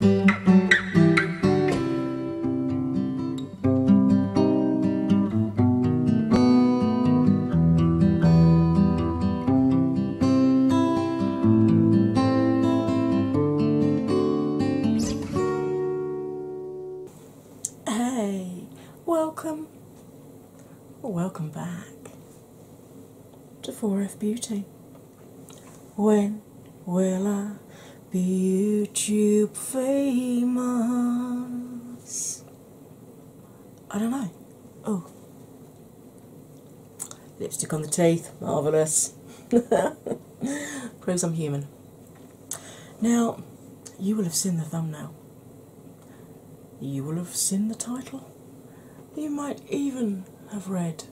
Hey, welcome, welcome back to 4F Beauty. When will I be YouTube famous? I don't know. Oh. Lipstick on the teeth, marvellous. Proves I'm human. Now, you will have seen the thumbnail. You will have seen the title. You might even have read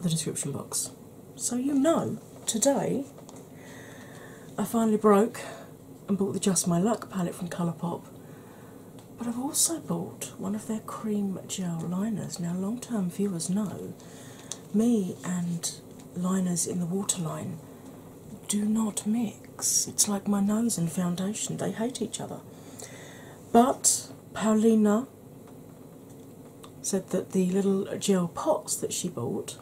the description box. So you know, today I finally broke and bought the Just My Luck palette from Colourpop, but I've also bought one of their cream gel liners. Now, long term viewers know me and liners in the waterline do not mix. It's like my nose and foundation, they hate each other. But Paulina said that the little gel pots that she bought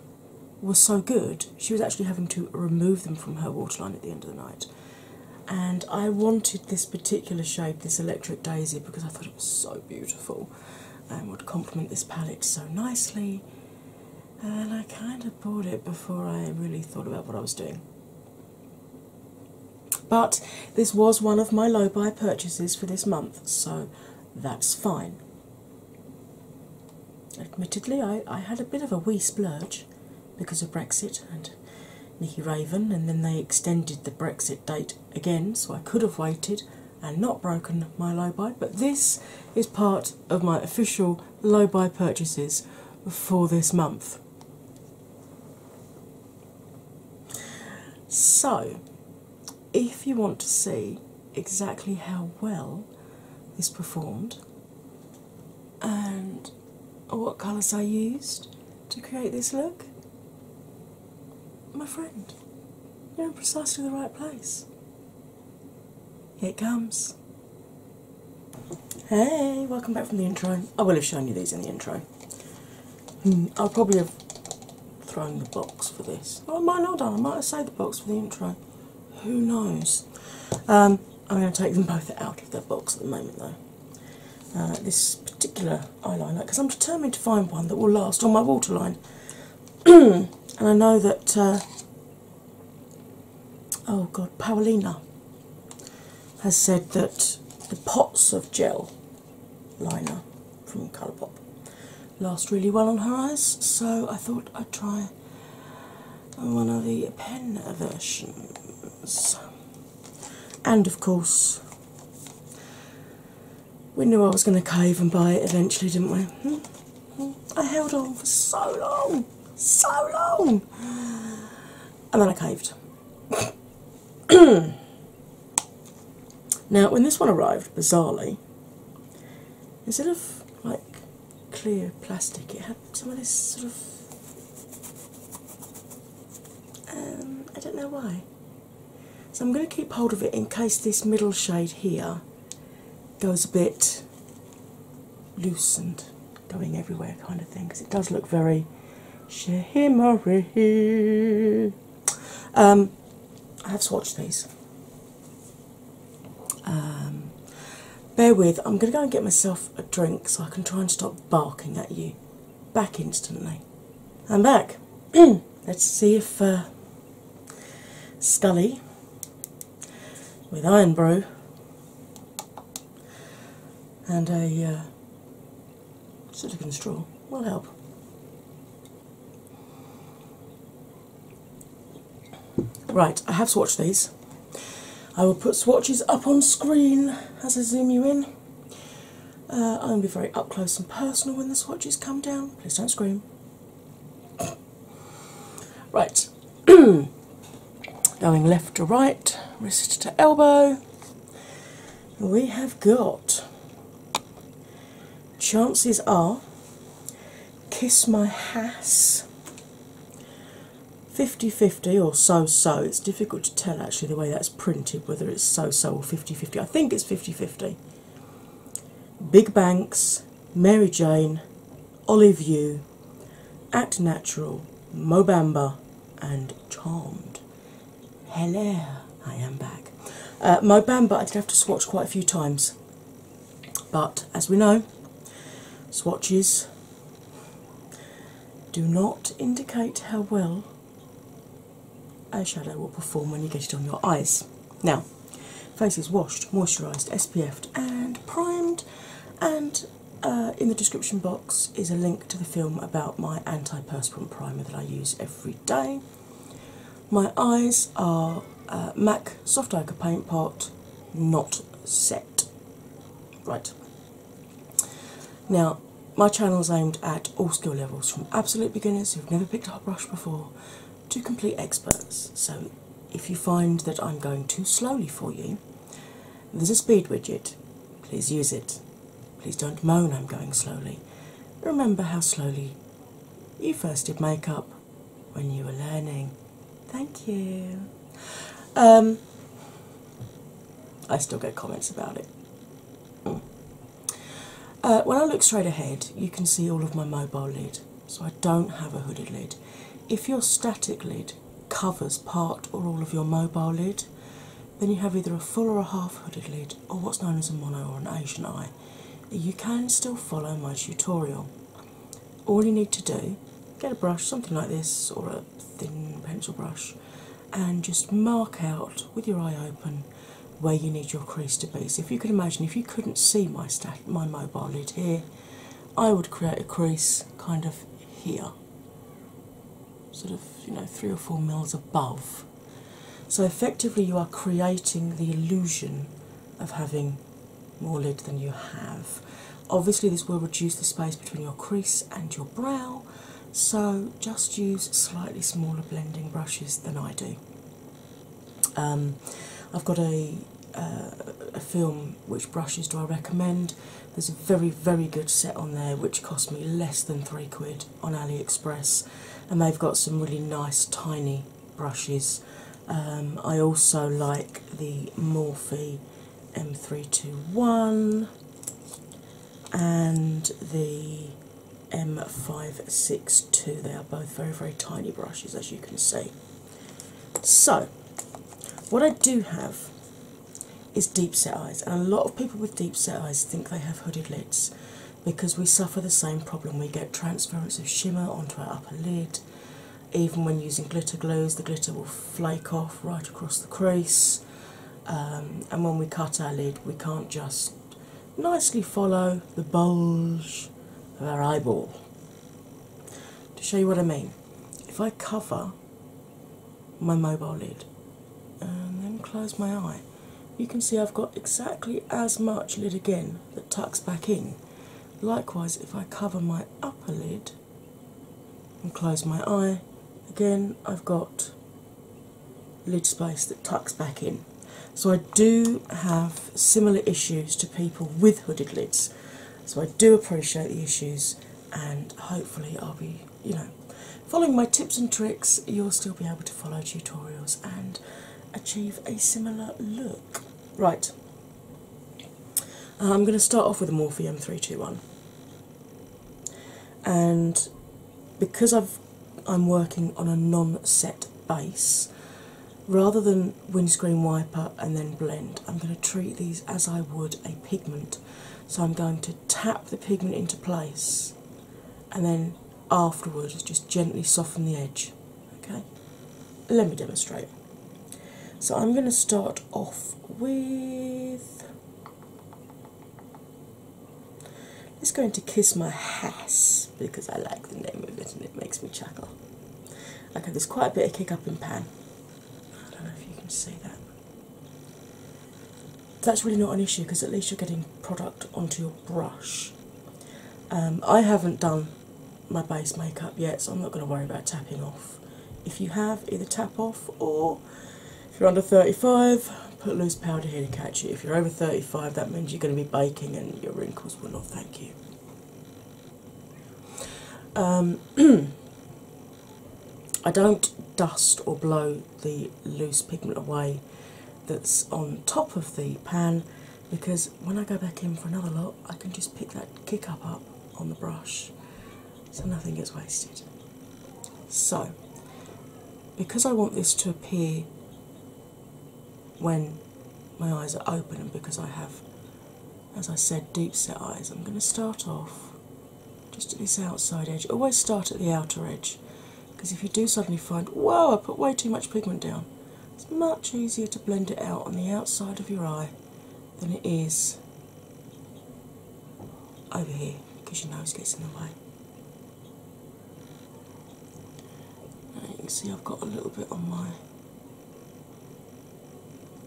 were so good she was actually having to remove them from her waterline at the end of the night. And I wanted this particular shade, this Electric Daisy, because I thought it was so beautiful and would complement this palette so nicely. And I kind of bought it before I really thought about what I was doing. But this was one of my low buy purchases for this month, so that's fine. Admittedly, I, had a bit of a wee splurge because of Brexit and Nicky Raven, and then they extended the Brexit date again, so I could have waited and not broken my low buy. But this is part of my official low buy purchases for this month. So, if you want to see exactly how well this performed and what colours I used to create this look, my friend, you're in precisely the right place. Here it comes. Hey, welcome back from the intro. I will have shown you these in the intro. Hmm, I'll probably have thrown the box for this. Oh, I might not done. I might have saved the box for the intro. Who knows? Um, I'm going to take them both out of their box at the moment, though. Uh, this particular eyeliner, because I'm determined to find one that will last on my waterline. and I know that, uh, oh god, Paulina has said that the pots of gel liner from Colourpop last really well on her eyes, so I thought I'd try one of the pen versions. And of course, we knew I was going to cave and buy it eventually, didn't we? Hmm? Hmm? I held on for so long, so long, and then I caved. Now, when this one arrived, bizarrely, instead of like clear plastic, it had some of this sort of. Um, I don't know why. So I'm going to keep hold of it in case this middle shade here goes a bit loosened, going everywhere kind of thing, because it does look very shimmery. Um, I have to watch these. Um, bear with, I'm going to go and get myself a drink so I can try and stop barking at you. Back instantly. I'm back. Let's see if uh, Scully with Iron Brew and a uh, silicon straw will help. Right, I have swatched these. I will put swatches up on screen as I zoom you in. Uh, I'm going to be very up close and personal when the swatches come down. Please don't scream. Right, going left to right, wrist to elbow we have got chances are kiss my hass 50-50 or so-so it's difficult to tell actually the way that's printed whether it's so-so or 50-50 i think it's 50-50 big banks mary jane olive you act natural mobamba and charmed Hello, I am back. Uh, my bamba I did have to swatch quite a few times, but as we know, swatches do not indicate how well eyeshadow will perform when you get it on your eyes. Now, face is washed, moisturised, SPF'd, and primed, and uh, in the description box is a link to the film about my antiperspirant primer that I use every day. My eyes are uh, MAC Soft Ochre Paint Pot, not set. Right. Now, my channel is aimed at all skill levels, from absolute beginners who've never picked up a brush before to complete experts. So, if you find that I'm going too slowly for you, there's a speed widget. Please use it. Please don't moan I'm going slowly. Remember how slowly you first did makeup when you were learning. Thank you. Um, I still get comments about it. Uh, when I look straight ahead, you can see all of my mobile lid, so I don't have a hooded lid. If your static lid covers part or all of your mobile lid, then you have either a full or a half hooded lid, or what's known as a mono or an Asian eye. You can still follow my tutorial. All you need to do, get a brush, something like this, or a thin pencil brush, and just mark out with your eye open where you need your crease to be. So if you could imagine, if you couldn't see my my mobile lid here, I would create a crease kind of here. Sort of, you know, three or four mils above so, effectively, you are creating the illusion of having more lid than you have. Obviously, this will reduce the space between your crease and your brow, so just use slightly smaller blending brushes than I do. Um, I've got uh, a film which brushes do I recommend. There's a very, very good set on there which cost me less than three quid on AliExpress, and they've got some really nice tiny brushes. Um, I also like the Morphe M321 and the M562. They are both very, very tiny brushes, as you can see. So, what I do have is deep set eyes, and a lot of people with deep set eyes think they have hooded lids because we suffer the same problem. We get transference of shimmer onto our upper lid. Even when using glitter glues, the glitter will flake off right across the crease. Um, and when we cut our lid, we can't just nicely follow the bulge of our eyeball. To show you what I mean, if I cover my mobile lid and then close my eye. You can see I've got exactly as much lid again that tucks back in. Likewise, if I cover my upper lid and close my eye, again I've got lid space that tucks back in. So I do have similar issues to people with hooded lids. So I do appreciate the issues and hopefully I'll be you know, following my tips and tricks, you'll still be able to follow tutorials and achieve a similar look. Right, I'm going to start off with a Morphe 321 and because I've I'm working on a non-set base. Rather than windscreen wiper and then blend, I'm going to treat these as I would a pigment. So I'm going to tap the pigment into place and then afterwards, just gently soften the edge. Okay, let me demonstrate. So, I'm going to start off with. It's going to kiss my ass because I like the name of it and it makes me chuckle. Okay, there's quite a bit of kick up in pan. I don't know if you can see that that's really not an issue because at least you're getting product onto your brush. Um, I haven't done my base makeup yet, so I'm not going to worry about tapping off. If you have, either tap off or if you're under 35, put loose powder here to catch it. If you're over 35, that means you're going to be baking and your wrinkles will not thank you. Um, I don't dust or blow the loose pigment away that's on top of the pan because when I go back in for another lot, I can just pick that kick up up on the brush so nothing gets wasted. So, because I want this to appear when my eyes are open, and because I have, as I said, deep set eyes, I'm going to start off just at this outside edge. Always start at the outer edge because if you do suddenly find, whoa, I put way too much pigment down, it's much easier to blend it out on the outside of your eye than it is over here because your nose gets in the way. you can see I've got a little bit on my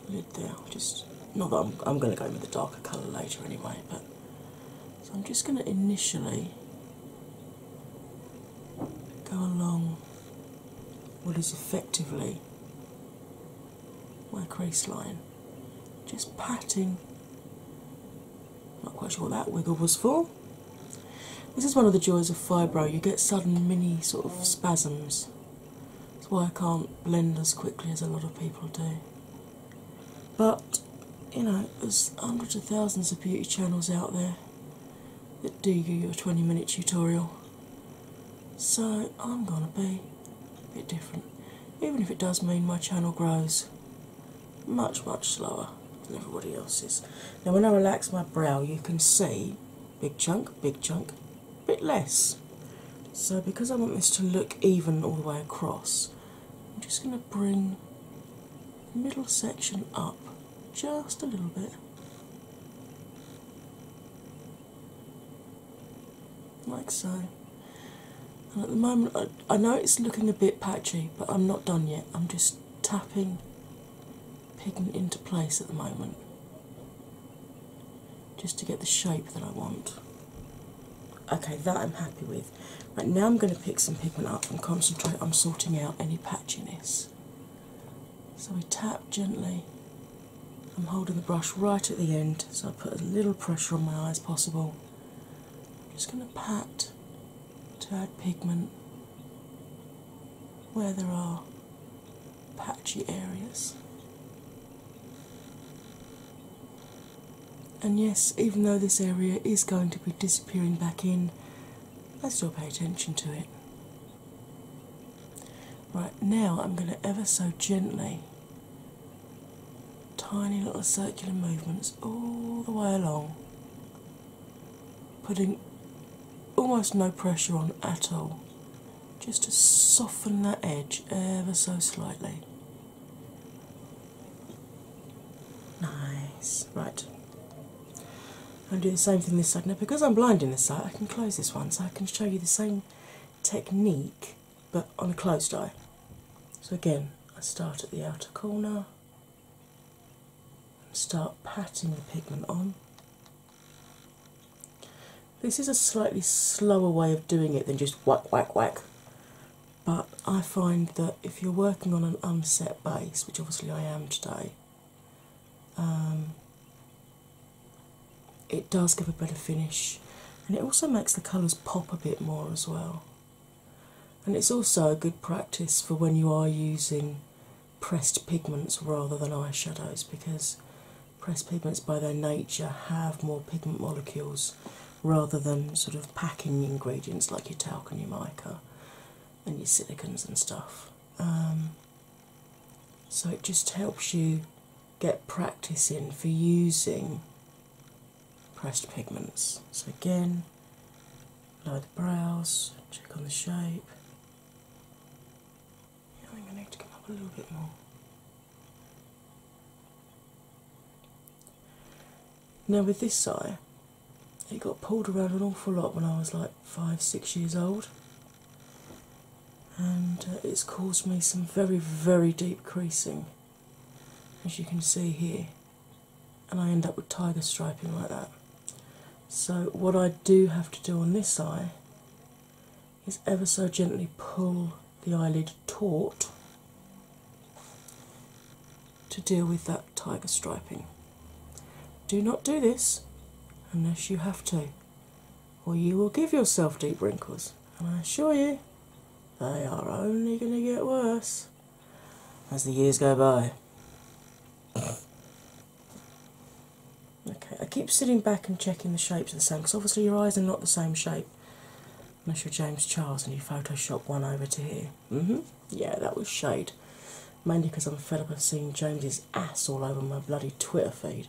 lid there. Just not that I'm, going to go in with a darker colour later anyway, but so I'm just going to initially go along what is effectively my crease line, just patting. Not quite sure what that wiggle was for. This is one of the joys of fibro, you get sudden mini sort of spasms. That's why I can't blend as quickly as a lot of people do. But you know, there's hundreds of thousands of beauty channels out there that do your 20 minute tutorial. So I'm gonna be a bit different. Even if it does mean my channel grows much, much slower than everybody else's. Now when I relax my brow you can see big chunk, big chunk, bit less. So because I want this to look even all the way across, I'm just going to bring the middle section up just a little bit. Like so. And at the moment, I, I know it's looking a bit patchy, but I'm not done yet. I'm just tapping pigment into place at the moment just to get the shape that I want. Okay, that I'm happy with. Right now, I'm going to pick some pigment up and concentrate on sorting out any patchiness. So we tap gently. I'm holding the brush right at the end, so I put as little pressure on my eye as possible. I'm just going to pat to add pigment where there are patchy areas. And yes, even though this area is going to be disappearing back in, I still pay attention to it. Right now, I'm going to ever so gently, tiny little circular movements all the way along, putting almost no pressure on at all, just to soften that edge ever so slightly. Nice. Right. I'm doing the same thing this side now because I'm blind in this side. I can close this one so I can show you the same technique but on a closed eye. So again, I start at the outer corner and start patting the pigment on. This is a slightly slower way of doing it than just whack, whack, whack but I find that if you're working on an unset base, which obviously I am today, um, it does give a better finish and it also makes the colours pop a bit more as well. And it's also a good practice for when you are using pressed pigments rather than eyeshadows because pressed pigments by their nature have more pigment molecules rather than sort of packing ingredients like your talc and your mica and your silicons and stuff. Um, so it just helps you get practice in for using pressed pigments. So again, apply the brows, check on the shape. I think I need to come up a little bit more. Now, with this eye, it got pulled around an awful lot when I was like five, six years old, and uh, it's caused me some very, very deep creasing, as you can see here, and I end up with tiger striping like that. So, what I do have to do on this eye is ever so gently pull the eyelid Taught to deal with that tiger striping. Do not do this unless you have to, or you will give yourself deep wrinkles, and I assure you, they are only going to get worse as the years go by. Okay, I keep sitting back and checking the shapes are the same because obviously your eyes are not the same shape unless you're James Charles and you Photoshop one over to here. hmm Yeah, that was shade. Mainly because I'm fed up of seeing James's ass all over my bloody Twitter feed.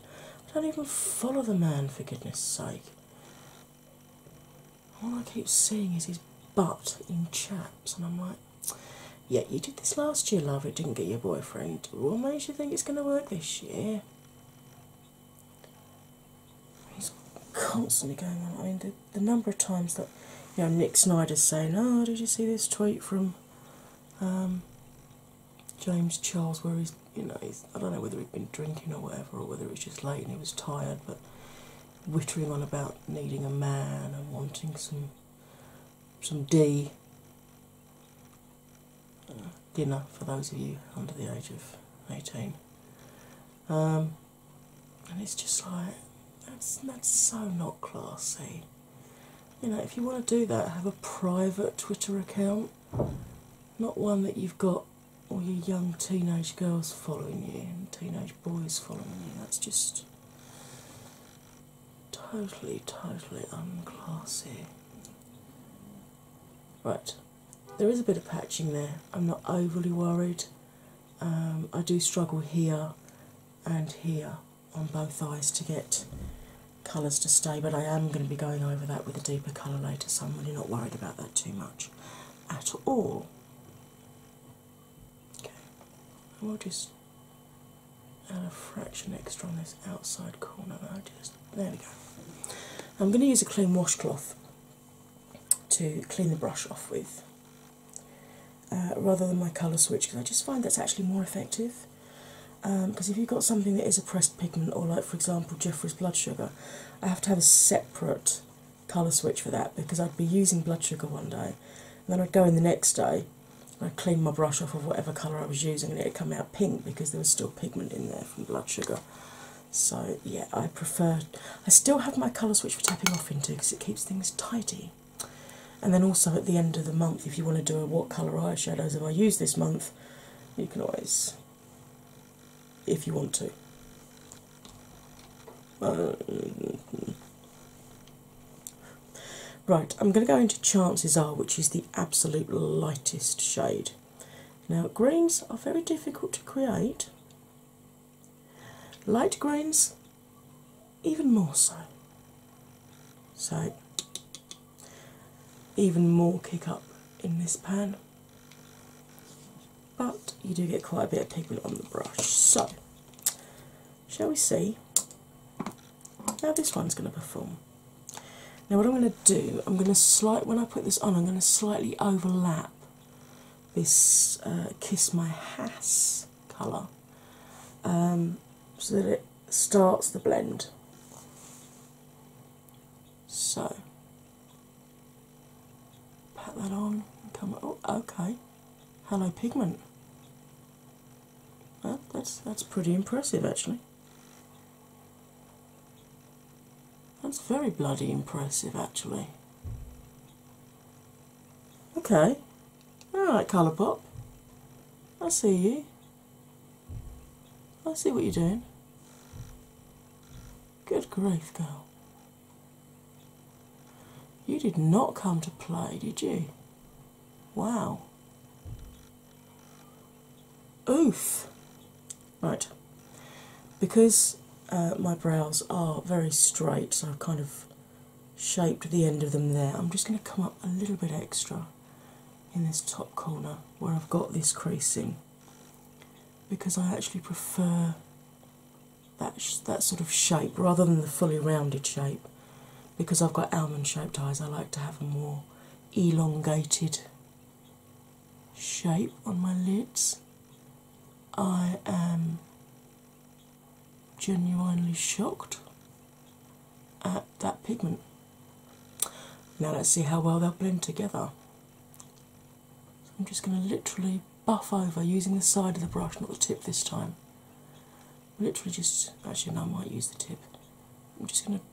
I don't even follow the man, for goodness sake. All I keep seeing is his butt in chaps, and I'm like, yeah, you did this last year, love. It didn't get your boyfriend. What makes you think it's going to work this year? He's constantly going on. I mean, the, number of times that you know Nick Snyder's saying, "Oh, did you see this tweet from um, James Charles?" Where he's, you know, he's, I don't know whether he'd been drinking or whatever, or whether it was just late and he was tired, but whittering on about needing a man and wanting some some D uh, dinner for those of you under the age of eighteen. Um, and it's just like that's that's so not classy. You know, if you want to do that, have a private Twitter account, not one that you've got all your young teenage girls following you and teenage boys following you. That's just totally, totally unclassy. Right, there is a bit of patching there. I'm not overly worried. Um, I do struggle here and here on both eyes to get colours to stay, but I am going to be going over that with a deeper colour later, so I'm really not worried about that too much at all. Okay, I will just add a fraction extra on this outside corner. there we go. I'm going to use a clean washcloth to clean the brush off with uh, rather than my colour switch because I just find that's actually more effective. Because um, if you've got something that is a pressed pigment, or like for example Jeffrey's blood sugar, I have to have a separate colour switch for that because I'd be using blood sugar one day and then I'd go in the next day and I'd clean my brush off of whatever colour I was using and it'd come out pink because there was still pigment in there from blood sugar. So, yeah, I prefer. I still have my colour switch for tapping off into because it keeps things tidy. And then also at the end of the month, if you want to do a what colour eyeshadows have I used this month, you can always, if you want to. right, I'm going to go into Chances Are, which is the absolute lightest shade. Now, greens are very difficult to create. Light greens, even more so. So, even more kick up in this pan, but you do get quite a bit of pigment on the brush. So, shall we see how this one's going to perform? Now, what I'm going to do, I'm going to slight when I put this on, I'm going to slightly overlap this uh, Kiss My has colour um, so that it starts the blend. So, pat that on and come. Oh, okay. Hello, pigment. Well, that's that's pretty impressive, actually. That's very bloody impressive, actually. Okay, alright, right, Colour Pop. I see you. I see what you're doing. Good grief, girl. You did not come to play, did you? Wow. Oof. Right. Because uh, my brows are very straight, so I've kind of shaped the end of them there. I'm just going to come up a little bit extra in this top corner where I've got this creasing because I actually prefer that, that sort of shape rather than the fully rounded shape. Because I've got almond shaped eyes, I like to have a more elongated shape on my lids. I am genuinely shocked at that pigment. Now let's see how well they'll blend together. I'm just going to literally buff over using the side of the brush, not the tip this time. Literally just, actually, now I might use the tip. I'm just going to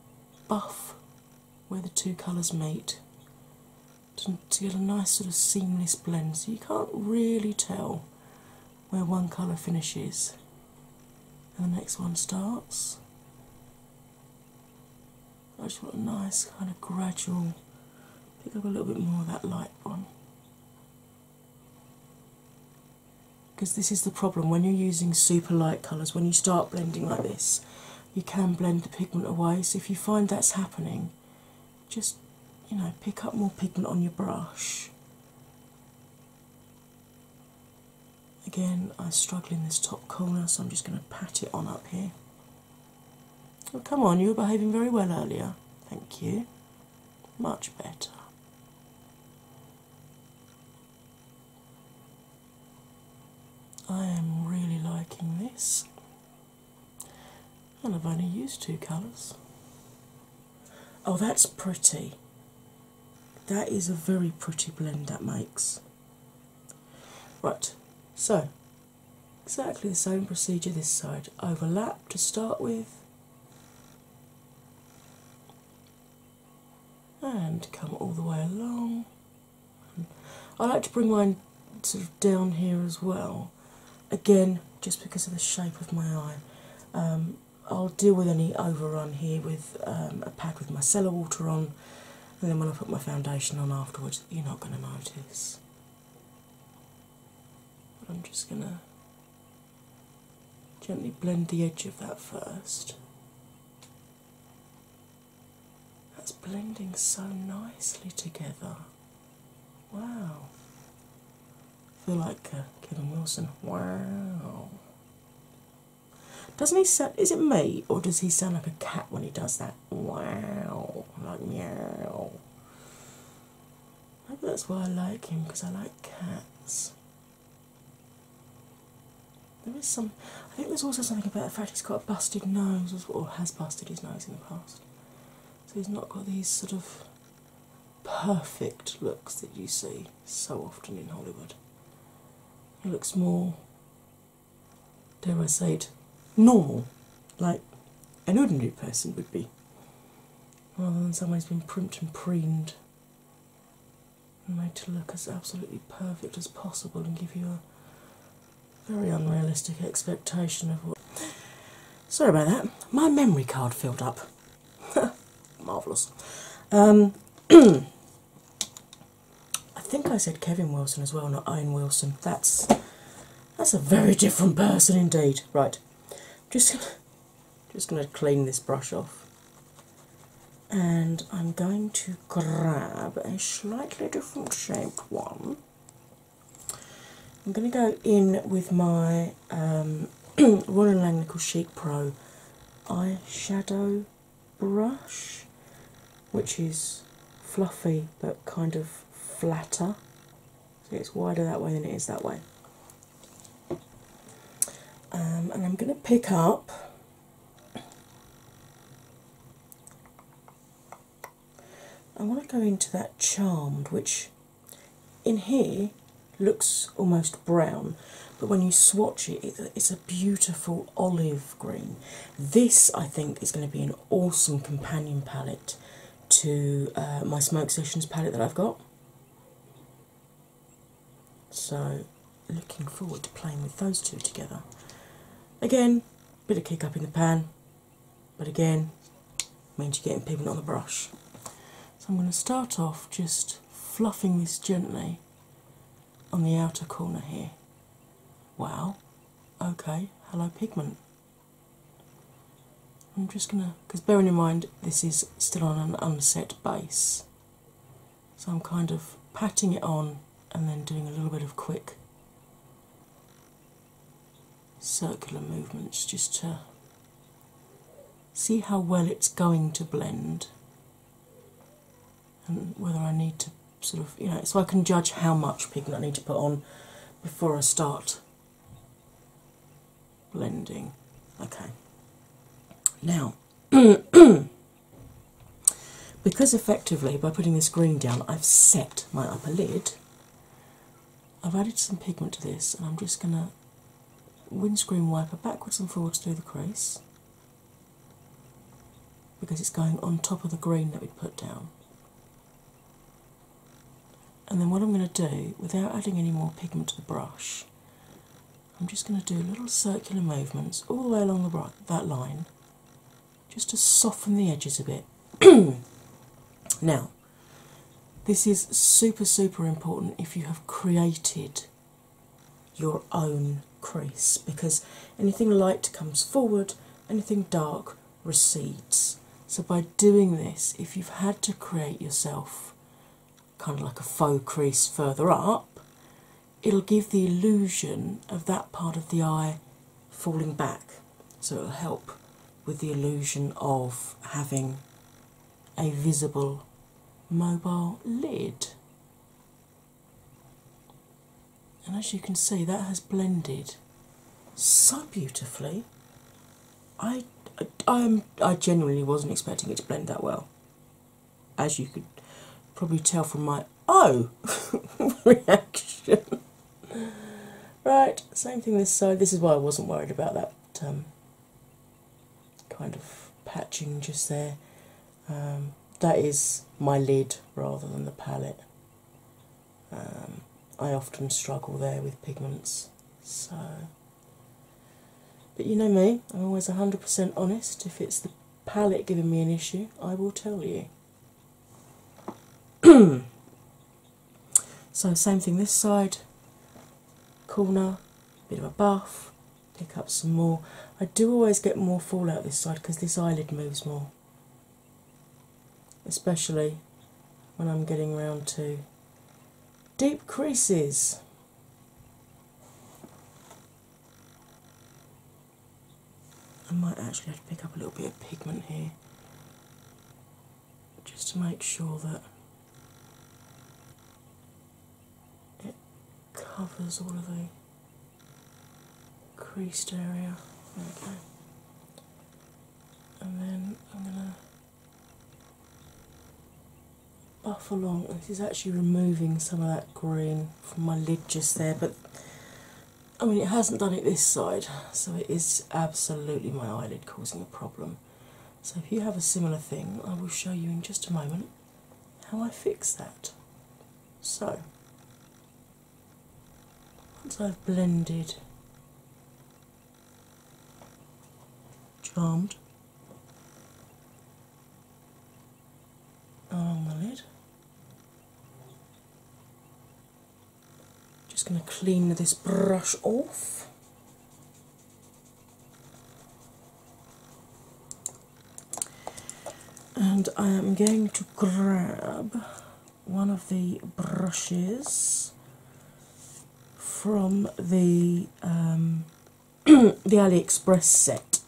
buff where the two colours meet to get a nice sort of seamless blend, so you can't really tell where one colour finishes and the next one starts. I just want a nice kind of gradual pick up a little bit more of that light one. Because this is the problem when you're using super light colours, when you start blending like this, you can blend the pigment away. So if you find that's happening, just you know, pick up more pigment on your brush. Again, I struggle in this top corner, so I'm just going to pat it on up here. Oh, come on, you were behaving very well earlier. Thank you. Much better. I am really liking this. And I've only used two colours. Oh, that's pretty. That is a very pretty blend that makes. Right, so exactly the same procedure this side. Overlap to start with. And come all the way along. I like to bring mine down here as well. Again, just because of the shape of my eye. Um, I'll deal with any overrun here with um, a pad with my micellar water on, and then when I put my foundation on afterwards, you're not going to notice. I'm just going to gently blend the edge of that first. That's blending so nicely together. Wow. I feel like uh, Kevin Wilson. Wow. Doesn't he sound, is it me or does he sound like a cat when he does that? Wow. Like meow. Maybe that's why I like him because I like cats. There is some, I think there's also something about the fact he's got a busted nose or has busted his nose in the past so he's not got these sort of perfect looks that you see so often in Hollywood. He looks more, dare I say it, normal, like an ordinary person would be, rather than someone who's been primed and preened and made to look as absolutely perfect as possible and give you a very unrealistic expectation of what. Sorry about that. My memory card filled up. Marvellous. Um, I think I said Kevin Wilson as well, not Owen Wilson. That's that's a very different person indeed. Right. Just just gonna clean this brush off. And I'm going to grab a slightly different shaped one. I'm going to go in with my um, Royal Langnickel Chic Pro eyeshadow brush, which is fluffy but kind of flatter. So it's wider that way than it is that way. Um, and I'm going to pick up I want to go into that charmed, which in here looks almost brown, but when you swatch it, it's a beautiful olive green. This, I think, is going to be an awesome companion palette to uh, my Smoke Sessions palette that I've got. So, looking forward to playing with those two together. Again, bit of kick up in the pan, but again, means you're getting pigment on the brush. So I'm going to start off just fluffing this gently on the outer corner here. Wow, okay, hello pigment. I'm just going to, because bearing in mind this is still on an unset base, so I'm kind of patting it on and then doing a little bit of quick circular movements just to see how well it's going to blend and whether I need to sort of, you know, so I can judge how much pigment I need to put on before I start blending. Okay. Now, because effectively by putting this green down, I've set my upper lid, I've added some pigment to this, and I'm just going to windscreen wiper backwards and forwards through the crease because it's going on top of the green that we put down. And then, what I'm going to do without adding any more pigment to the brush, I'm just going to do little circular movements all the way along that line just to soften the edges a bit. now, this is super, super important if you have created your own crease because anything light comes forward, anything dark recedes. So, by doing this, if you've had to create yourself kind of like a faux crease further up, it'll give the illusion of that part of the eye falling back, so it'll help with the illusion of having a visible mobile lid. And as you can see, that has blended so beautifully. I, I, am I genuinely wasn't expecting it to blend that well, as you could probably tell from my oh reaction. Right, same thing this side. This is why I wasn't worried about that um, kind of patching just there. Um, that is my lid rather than the palette. Um, I often struggle there with pigments, so. But you know me, I'm always 100% honest. If it's the palette giving me an issue, I will tell you. So, same thing this side, corner, bit of a buff, pick up some more. I do always get more fallout this side because this eyelid moves more, especially when I'm getting round to deep creases. I might actually have to pick up a little bit of pigment here just to make sure that it covers all of the creased area. Okay. And then I'm going to buff along. This is actually removing some of that green from my lid just there, but I mean, it hasn't done it this side, so it is absolutely my eyelid causing the problem. So, if you have a similar thing, I will show you in just a moment how I fix that. So, once I've blended, charmed along the lid. Just going to clean this brush off. And I am going to grab one of the brushes from the um, the AliExpress set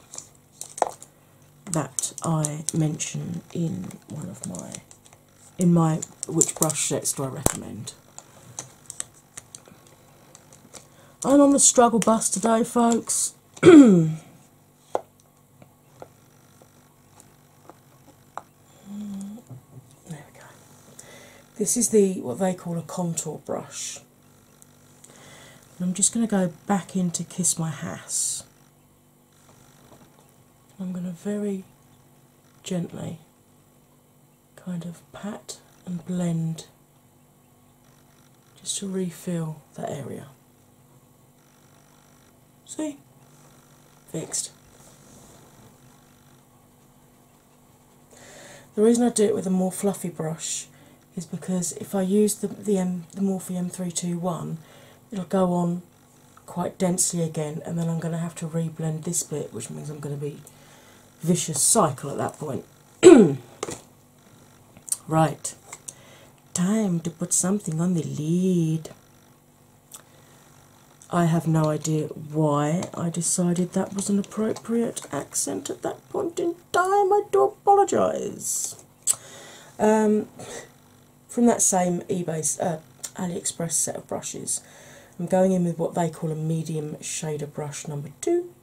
that I mentioned in one of my in my which brush sets do I recommend. I'm on the struggle bus today, folks. there we go. This is the what they call a contour brush. I'm just going to go back in to Kiss My Hass I'm going to very gently kind of pat and blend just to refill that area. See? Fixed. The reason I do it with a more fluffy brush is because if I use the, the, Morphe M321, it'll go on quite densely again, and then I'm going to have to re-blend this bit, which means I'm going to be vicious cycle at that point. right, time to put something on the lead. I have no idea why I decided that was an appropriate accent at that point in time. I do apologise. Um, from that same eBay uh, AliExpress set of brushes. I'm going in with what they call a medium shader brush number two.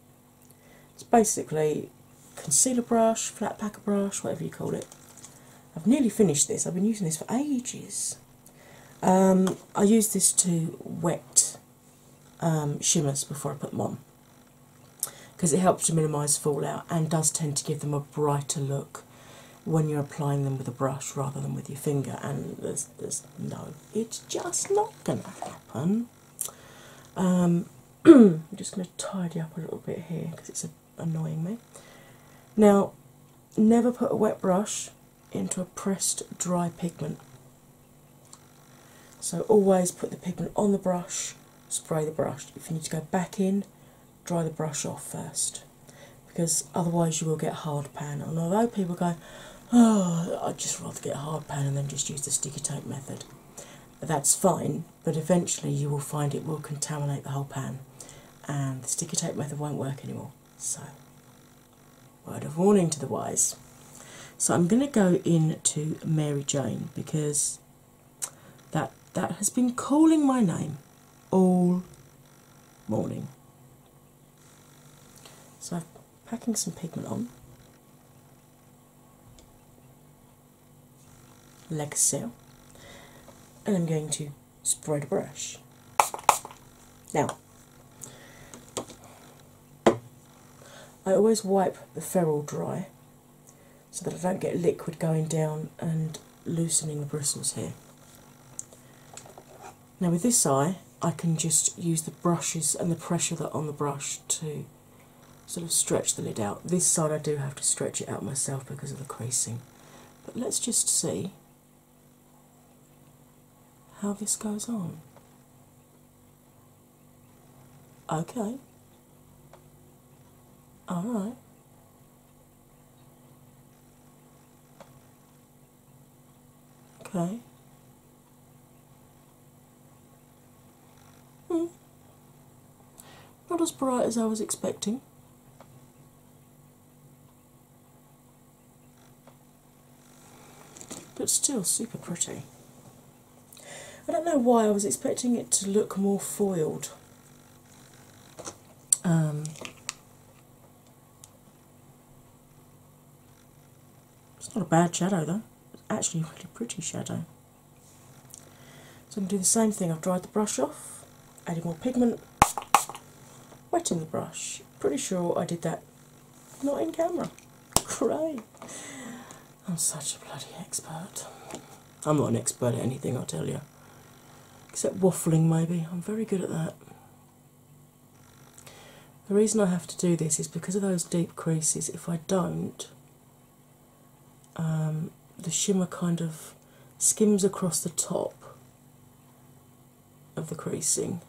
It's basically concealer brush, flat packer brush, whatever you call it. I've nearly finished this. I've been using this for ages. Um, I use this to wet um, shimmers before I put them on because it helps to minimise fallout and does tend to give them a brighter look when you're applying them with a brush rather than with your finger, and there's, no, it's just not going to happen. Um, I'm just going to tidy up a little bit here because it's annoying me. Now, never put a wet brush into a pressed dry pigment. So, always put the pigment on the brush, spray the brush. If you need to go back in, dry the brush off first because otherwise you will get hard pan. And although people go, oh, I'd just rather get hard pan and then just use the sticky tape method, that's fine, but eventually you will find it will contaminate the whole pan and the sticky tape method won't work anymore. So, word of warning to the wise. So, I'm going to go in to Mary Jane because that that has been calling my name all morning. So I'm packing some pigment on. like so and I'm going to spread a brush. Now I always wipe the ferrule dry so that I don't get liquid going down and loosening the bristles here. Now, with this eye, I can just use the brushes and the pressure that on the brush to sort of stretch the lid out. This side, I do have to stretch it out myself because of the creasing, but let's just see how this goes on. Okay. Alright. Okay. Hmm. Not as bright as I was expecting. But still super pretty. I don't know why I was expecting it to look more foiled um, it's not a bad shadow though, it's actually a really pretty shadow. So I'm going to do the same thing. I've dried the brush off, added more pigment, wetting the brush. Pretty sure I did that not in camera. Great! I'm such a bloody expert. I'm not an expert at anything, I'll tell you. Except waffling, maybe. I'm very good at that. The reason I have to do this is because of those deep creases. If I don't, um, the shimmer kind of skims across the top of the creasing,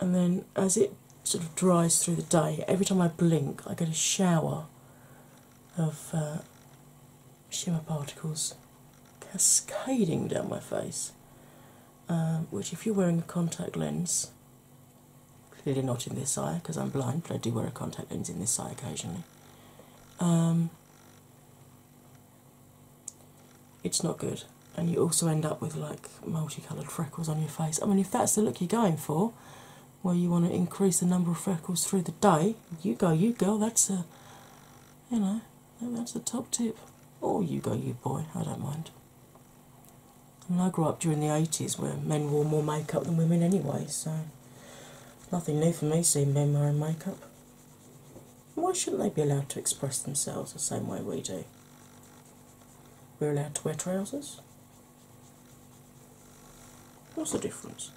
and then as it sort of dries through the day, every time I blink, I get a shower of uh, shimmer particles cascading down my face. Um, which, if you're wearing a contact lens, clearly not in this eye because I'm blind, but I do wear a contact lens in this eye occasionally. Um, it's not good, and you also end up with like multicoloured freckles on your face. I mean, if that's the look you're going for, where you want to increase the number of freckles through the day, you go, you go. That's a you know, that's the top tip. Oh, you go, you boy, I don't mind. I mean, I grew up during the 80s where men wore more makeup than women anyway, so nothing new for me seeing men wearing makeup. Why shouldn't they be allowed to express themselves the same way we do? We're allowed to wear trousers. What's the difference?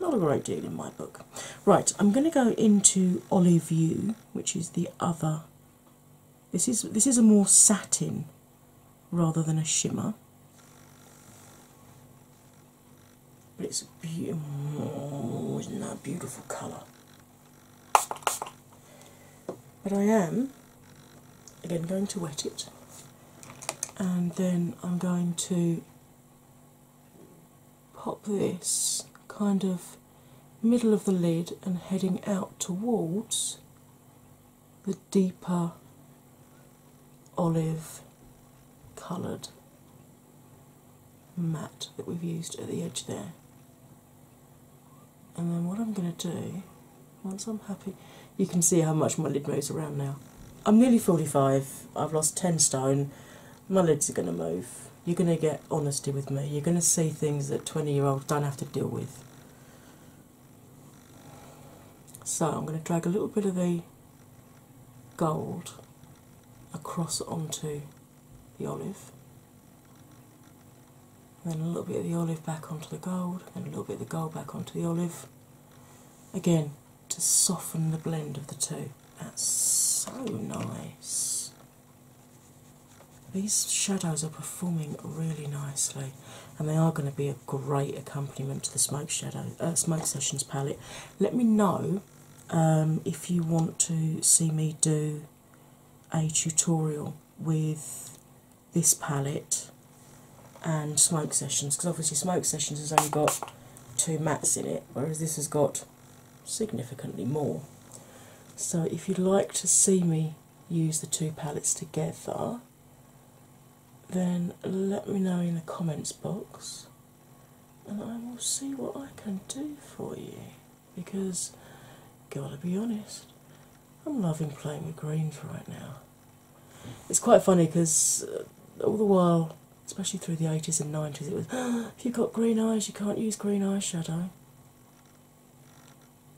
Not a great deal in my book. Right, I'm going to go into Olive Hue, which is the other. This is this is a more satin rather than a shimmer. But it's beautiful. Oh, isn't that a beautiful colour? But I am again going to wet it and then I'm going to pop this kind of middle of the lid and heading out towards the deeper olive coloured matte that we've used at the edge there. And then what I'm going to do, once I'm happy, you can see how much my lid moves around now. I'm nearly 45, I've lost 10 stone, my lids are going to move. You're going to get honesty with me. You're going to see things that 20 year olds don't have to deal with. So I'm going to drag a little bit of the gold across onto the olive. then a little bit of the olive back onto the gold, and a little bit of the gold back onto the olive. Again, to soften the blend of the two. That's so nice. These shadows are performing really nicely, and they are going to be a great accompaniment to the smoke shadow, uh, smoke sessions palette. Let me know um, if you want to see me do a tutorial with this palette and smoke sessions, because obviously smoke sessions has only got two mats in it, whereas this has got significantly more. So, if you'd like to see me use the two palettes together, then let me know in the comments box and I will see what I can do for you because, gotta be honest, I'm loving playing with greens right now. It's quite funny because all the while especially through the 80s and 90s, it was if you've got green eyes, you can't use green eyeshadow.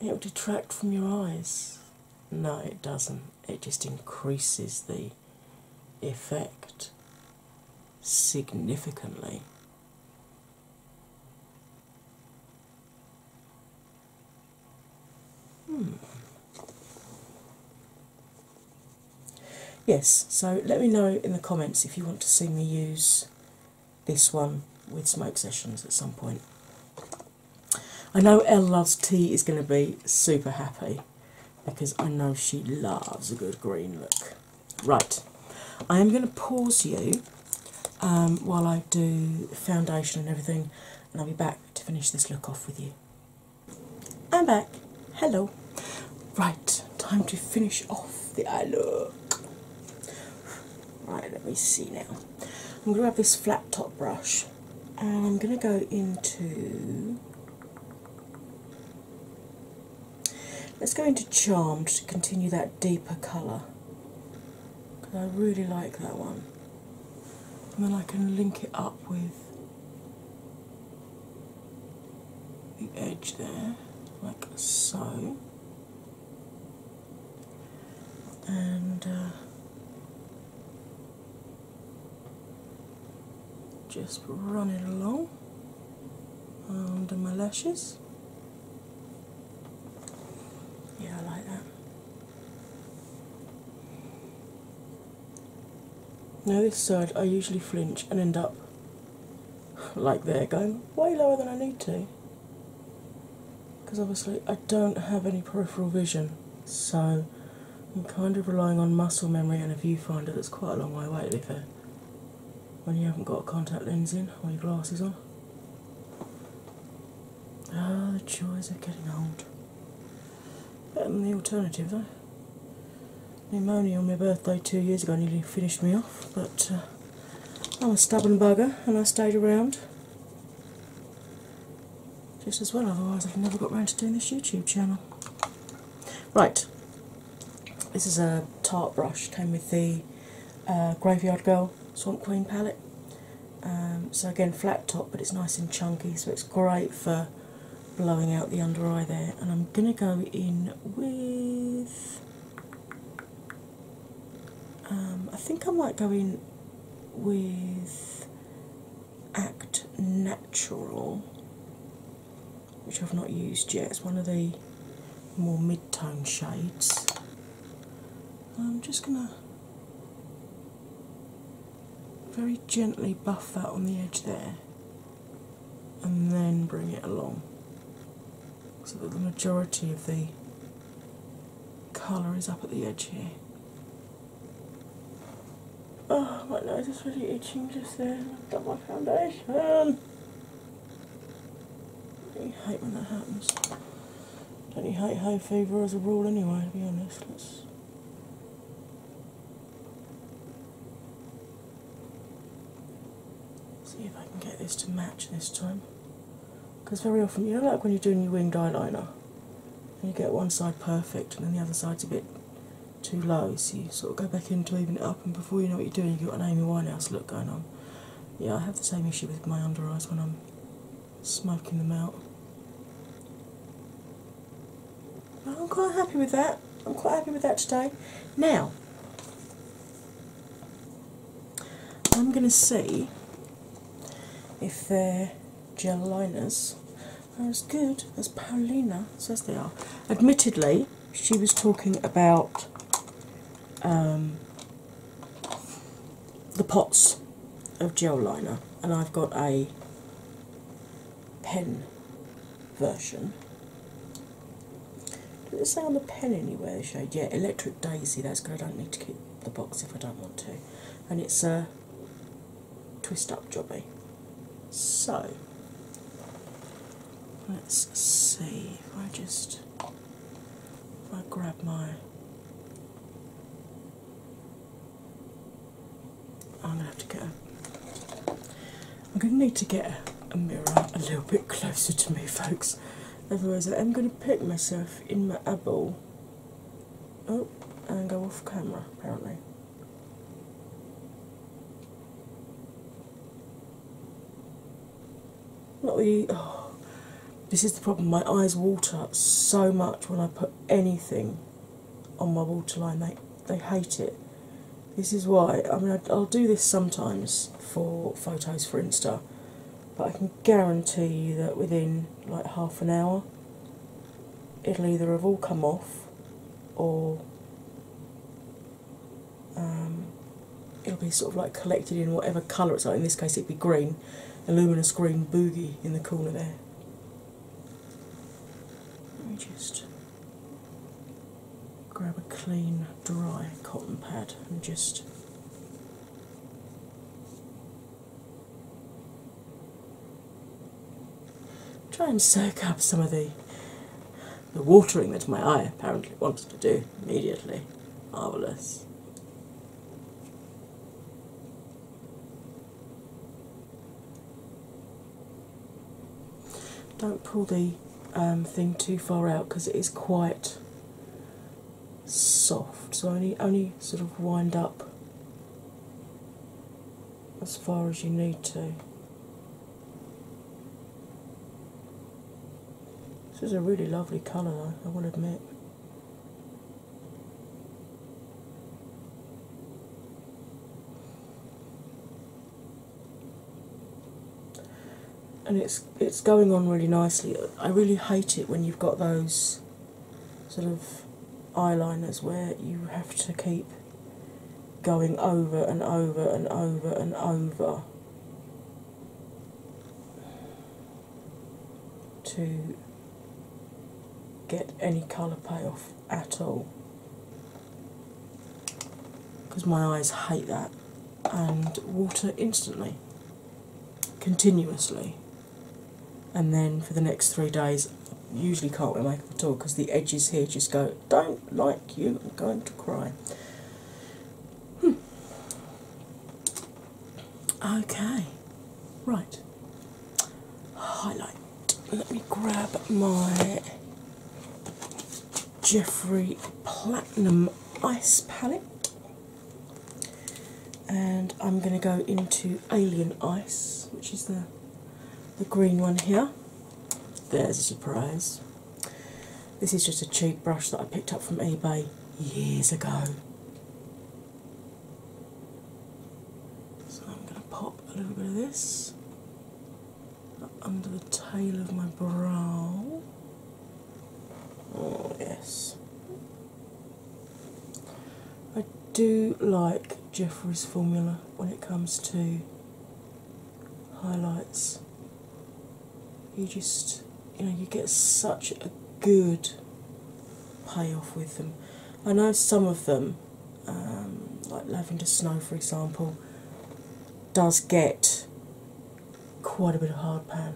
It will detract from your eyes. No, it doesn't. It just increases the effect significantly. Hmm. Yes, so let me know in the comments if you want to see me use this one with smoke sessions at some point. I know L Loves Tea is going to be super happy because I know she loves a good green look. Right, I am going to pause you um, while I do foundation and everything, and I'll be back to finish this look off with you. I'm back. Hello. Right, time to finish off the eye look. Right, let me see now. I'm going to grab this flat top brush and I'm going to go into. Let's go into Charmed to continue that deeper colour because I really like that one. And then I can link it up with the edge there, like so, and uh, just run it along under my lashes. Yeah, I like that. Now, this side I usually flinch and end up like there, going way lower than I need to because obviously I don't have any peripheral vision, so I'm kind of relying on muscle memory and a viewfinder that's quite a long way away, to be fair, when you haven't got a contact lens in or your glasses on. Ah, the joys of getting old. Better than the alternative, though pneumonia on my birthday two years ago nearly finished me off, but uh, I'm a stubborn bugger and I stayed around just as well, otherwise, I've never got round to doing this YouTube channel. Right, this is a tart brush, came with the uh, Graveyard Girl Swamp Queen palette. Um, so, again, flat top, but it's nice and chunky, so it's great for blowing out the under eye there, and I'm going to go in with. Um, I think I might go in with Act Natural, which I've not used yet. It's one of the more mid tone shades. I'm just going to very gently buff that on the edge there and then bring it along so that the majority of the colour is up at the edge here. Oh, my nose is really itching just there. I've done my foundation. I hate when that happens. Don't you hate hay fever as a rule anyway, to be honest? Let's See if I can get this to match this time. Because very often, you know, like when you're doing your winged eyeliner, and you get one side perfect and then the other side's a bit too low, so you sort of go back in to even it up, and before you know what you're doing, you've got an Amy Winehouse look going on. Yeah, I have the same issue with my under eyes when I'm smoking them out. I'm quite happy with that. I'm quite happy with that today. Now, I'm going to see if they gel liners are as good as Paulina says they are. Admittedly, she was talking about um, the pots of gel liner, and I've got a pen version. Did it say on the pen anywhere the shade? Yeah, Electric Daisy, that's good. I don't need to keep the box if I don't want to. And it's a twist up jobby. Eh? So let's see if I just if I grab my I'm gonna have to get. A, I'm gonna need to get a mirror a little bit closer to me, folks. Otherwise, I am gonna put myself in my eyeball. Oh, and go off camera apparently. Not oh, this is the problem. My eyes water so much when I put anything on my waterline. They they hate it. This is why. I mean, I'll do this sometimes for photos for Insta, but I can guarantee you that within like half an hour, it'll either have all come off, or um, it'll be sort of like collected in whatever colour it's like. In this case, it'd be green, luminous green boogie in the corner there. Let me just grab a clean, dry cotton pad and just try and soak up some of the the watering that my eye apparently wants to do immediately. Marvellous. Don't pull the um, thing too far out because it is quite soft, so only only sort of wind up as far as you need to. This is a really lovely colour I will admit and it's it's going on really nicely. I really hate it when you've got those sort of eyeliners where you have to keep going over and over and over and over to get any colour payoff at all because my eyes hate that, and water instantly, continuously. And then for the next three days, I usually can't wear makeup at all because the edges here just go, Don't like you, I'm going to cry. Hmm. Okay, right. Highlight. Let me grab my Jeffree Platinum Ice Palette, and I'm going to go into Alien Ice, which is the the green one here. There's a surprise. This is just a cheap brush that I picked up from eBay years ago. So I'm going to pop a little bit of this under the tail of my brow. Oh, yes. I do like Jeffrey's formula when it comes to highlights. You just, you know, you get such a good payoff with them. I know some of them um, like Lavender Snow, for example, does get quite a bit of hard pan.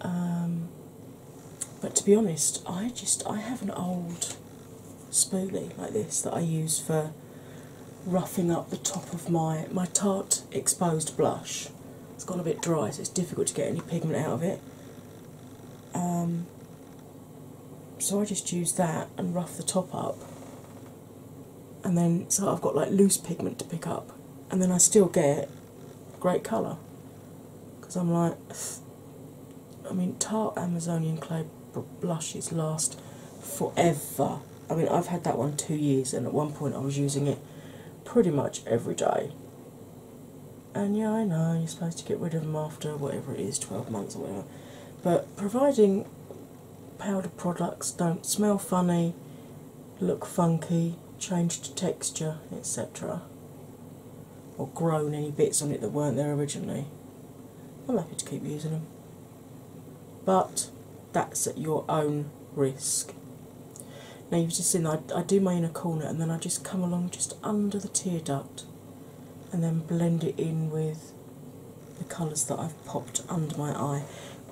Um, but to be honest, I just I have an old spoolie like this that I use for roughing up the top of my my tart exposed blush. It's gone a bit dry, so it's difficult to get any pigment out of it. Um, so I just use that and rough the top up, and then so I've got like loose pigment to pick up, and then I still get great colour because I'm like, I mean, Tarte Amazonian Clay blushes last forever. I mean, I've had that one two years, and at one point I was using it pretty much every day. And yeah, I know you're supposed to get rid of them after whatever it is, 12 months or whatever but providing powder products don't smell funny, look funky, change to texture, etc., or grow any bits on it that weren't there originally, I'm happy to keep using them. But that's at your own risk. Now you've just seen I, I do my inner corner and then I just come along just under the tear duct and then blend it in with the colours that I've popped under my eye.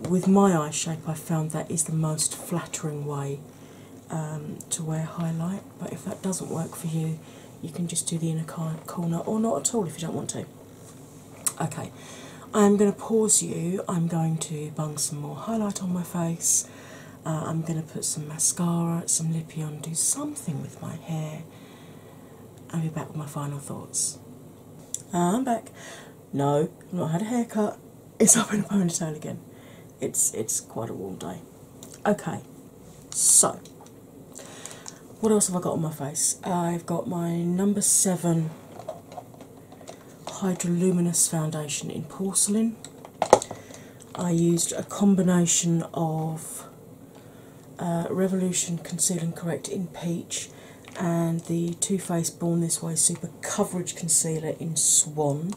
With my eye shape, I found that is the most flattering way um, to wear highlight, but if that doesn't work for you, you can just do the inner corner or not at all if you don't want to. Okay, I'm going to pause you. I'm going to bung some more highlight on my face. Uh, I'm going to put some mascara, some lippy on, do something with my hair. I'll be back with my final thoughts. Uh, I'm back. No, I've not had a haircut. It's up in a ponytail again. It's it's quite a warm day. Okay, so what else have I got on my face? I've got my number seven Hydroluminous foundation in porcelain. I used a combination of uh, revolution Conceal and Correct in Peach, and the Too Faced Born This Way Super Coverage Concealer in Swan.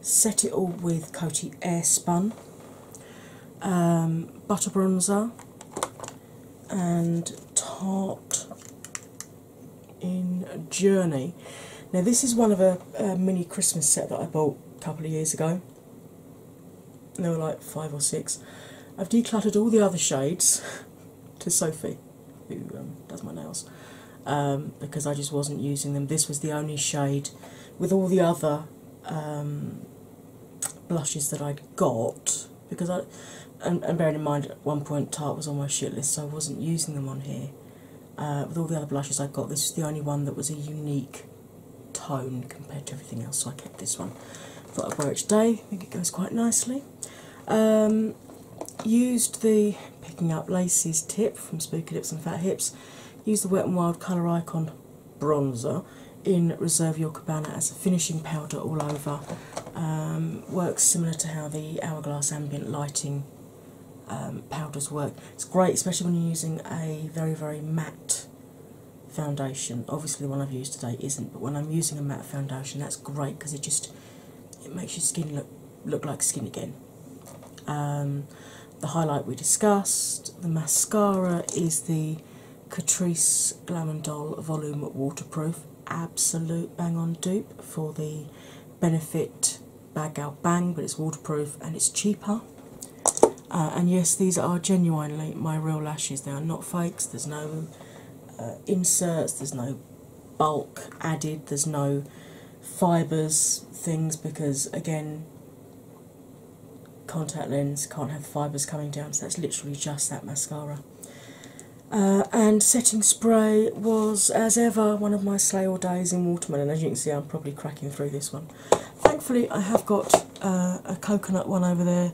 Set it all with Coty Airspun, um, Butter Bronzer, and Tarte in Journey. Now, this is one of a mini Christmas set that I bought a couple of years ago and there were like five or six. I've decluttered all the other shades to Sophie, who um, does my nails, um, because I just wasn't using them. This was the only shade with all the other um, blushes that I'd got, because I, and, bearing in mind at one point Tarte was on my shit list, so I wasn't using them on here. Uh, with all the other blushes I got, this was the only one that was a unique tone compared to everything else, so I kept this one. Thought I'd wear it today. I think it goes quite nicely. Um, used the picking up laces tip from Spooky Lips and Fat Hips. Used the Wet n Wild colour icon bronzer in Reserve Your Cabana as a finishing powder all over. Um, works similar to how the Hourglass ambient lighting um, powders work. It's great, especially when you're using a very very matte foundation. Obviously, the one I've used today isn't, but when I'm using a matte foundation, that's great because it just it makes your skin look look like skin again. Um, the highlight we discussed, the mascara is the Catrice Glam and Doll Volume Waterproof, absolute bang on dupe for the Benefit Bag Out Bang, but it's waterproof and it's cheaper. Uh, and yes, these are genuinely my real lashes. They are not fakes. There's no uh, inserts. There's no bulk added. There's no fibres things because again, contact lens can't have fibres coming down. So that's literally just that mascara. Uh, and setting spray was, as ever, one of my slay all days in watermelon. As you can see, I'm probably cracking through this one. Thankfully, I have got uh, a coconut one over there.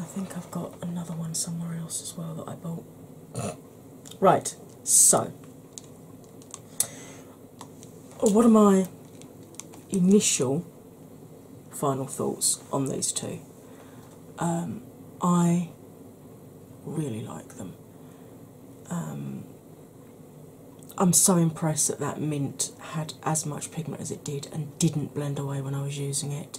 I think I've got another one somewhere else as well that I bought. Right, so what are my initial final thoughts on these two? Um, I really like them. Um, I'm so impressed that that mint had as much pigment as it did and didn't blend away when I was using it.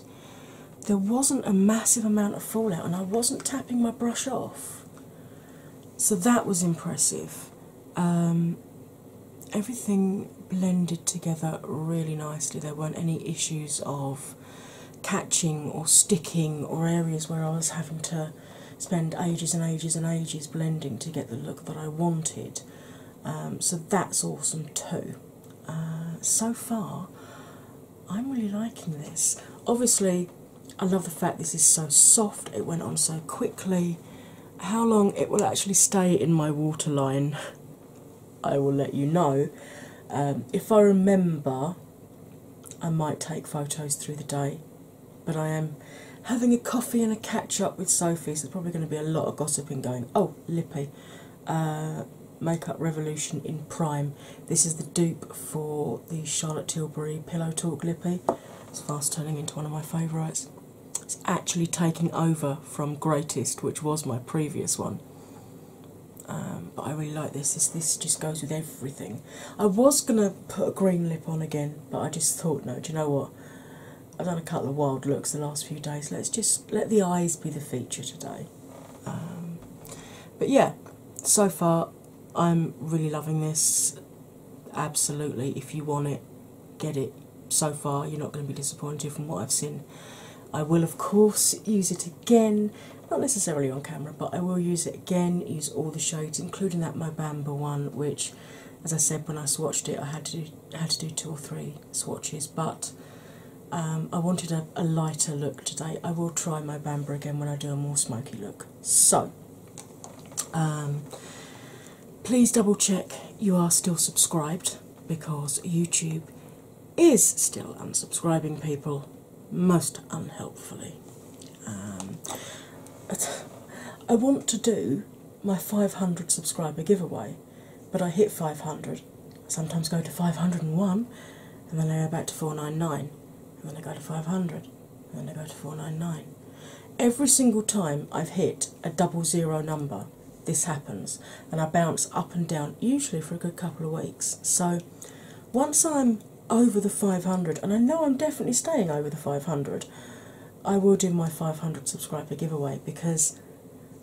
There wasn't a massive amount of fallout, and I wasn't tapping my brush off, so that was impressive. Um, everything blended together really nicely, there weren't any issues of catching or sticking or areas where I was having to spend ages and ages and ages blending to get the look that I wanted. Um, so that's awesome too. Uh, so far, I'm really liking this. Obviously, I love the fact this is so soft, it went on so quickly. How long it will actually stay in my waterline, I will let you know. Um, if I remember, I might take photos through the day, but I am having a coffee and a catch up with Sophie, so there's probably going to be a lot of gossiping going. Oh, Lippy, uh, Makeup Revolution in Prime. This is the dupe for the Charlotte Tilbury Pillow Talk Lippy. It's fast turning into one of my favourites. It's actually taking over from Greatest, which was my previous one. Um, but I really like this. This just goes with everything. I was gonna put a green lip on again, but I just thought, no, do you know what? I've done a couple of wild looks the last few days. Let's just let the eyes be the feature today. Um, but yeah, so far I'm really loving this. Absolutely, if you want it, get it. So far, you're not going to be disappointed from what I've seen. I will, of course, use it again, not necessarily on camera, but I will use it again, use all the shades, including that Bamba one, which as I said when I swatched it, I had to do, had to do two or three swatches, but um, I wanted a, lighter look today. I will try my Bamber again when I do a more smoky look. So, um, please double check you are still subscribed because YouTube is still unsubscribing people most unhelpfully. Um, I want to do my 500 subscriber giveaway but I hit 500. I sometimes go to 501 and then I go back to 499 and then I go to 500 and then I go to 499. Every single time I've hit a double zero number, this happens and I bounce up and down usually for a good couple of weeks. So once I'm over the 500, and I know I'm definitely staying over the 500, I will do my 500 subscriber giveaway because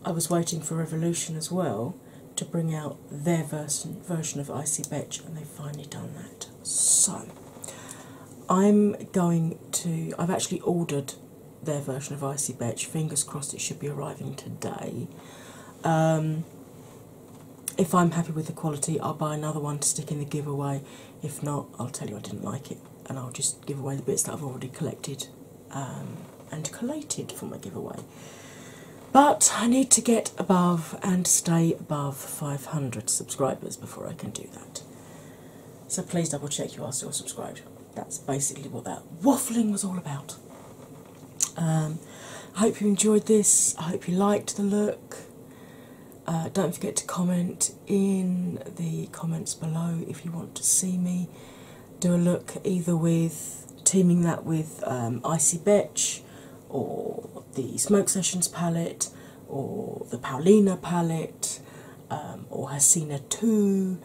I was waiting for Revolution as well to bring out their version, version of Icy bitch, and they've finally done that. So I'm going to, I've actually ordered their version of Icy bitch. fingers crossed it should be arriving today. Um, if I'm happy with the quality, I'll buy another one to stick in the giveaway. If not, I'll tell you I didn't like it and I'll just give away the bits that I've already collected um, and collated for my giveaway. But I need to get above and stay above 500 subscribers before I can do that. So please double check you are still subscribed. That's basically what that waffling was all about. Um, I hope you enjoyed this. I hope you liked the look. Uh, don't forget to comment in the comments below if you want to see me do a look either with teaming that with um, Icy Bitch or the Smoke Sessions palette or the Paulina palette um, or Hasina 2.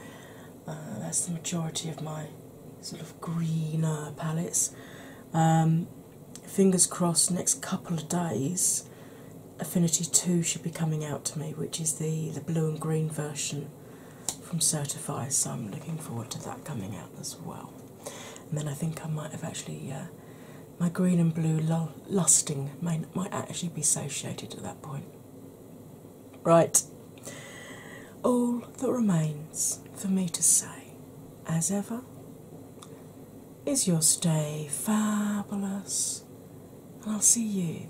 Uh, that's the majority of my sort of greener palettes. Um, fingers crossed, next couple of days Affinity 2 should be coming out to me, which is the, the blue and green version from Certify, so I'm looking forward to that coming out as well. And then I think I might have actually, uh, my green and blue lusting may, might actually be satiated at that point. Right, all that remains for me to say, as ever, is your stay fabulous, and I'll see you